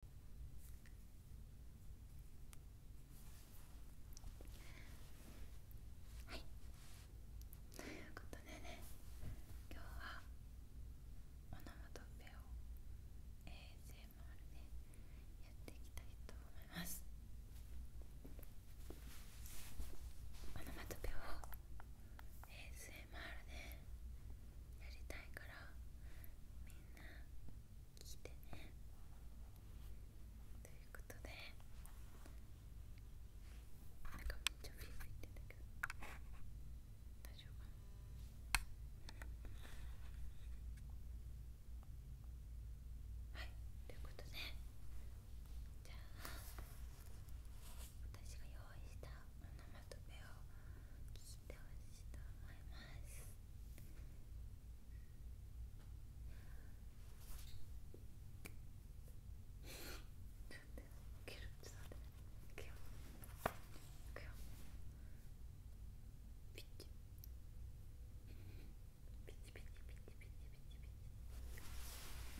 はいということでね今日はオノマトペを ASMR でやっていきたいと思いますオノマトペを a s やりたいからみんな聞いてねということではいということでじゃあ私が用意したお名前まとめを聞いてほしいと思います起きピチピチピチピチピチピチピチ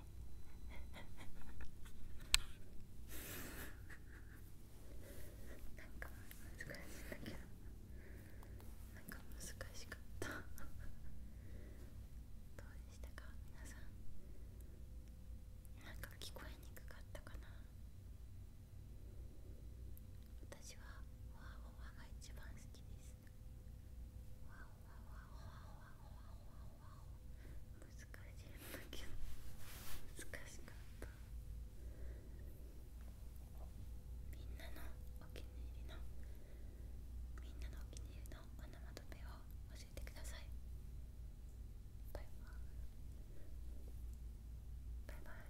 なんか難しいんだけどなんか難しかったどうでしたか皆さんなんか聞こえにくかったかな私はワーワーが一番好きですしいんだけど難しかったみんなのお気に入りのみんなのお気に入りのオナマトペを教えてくださいバイバイバイバイ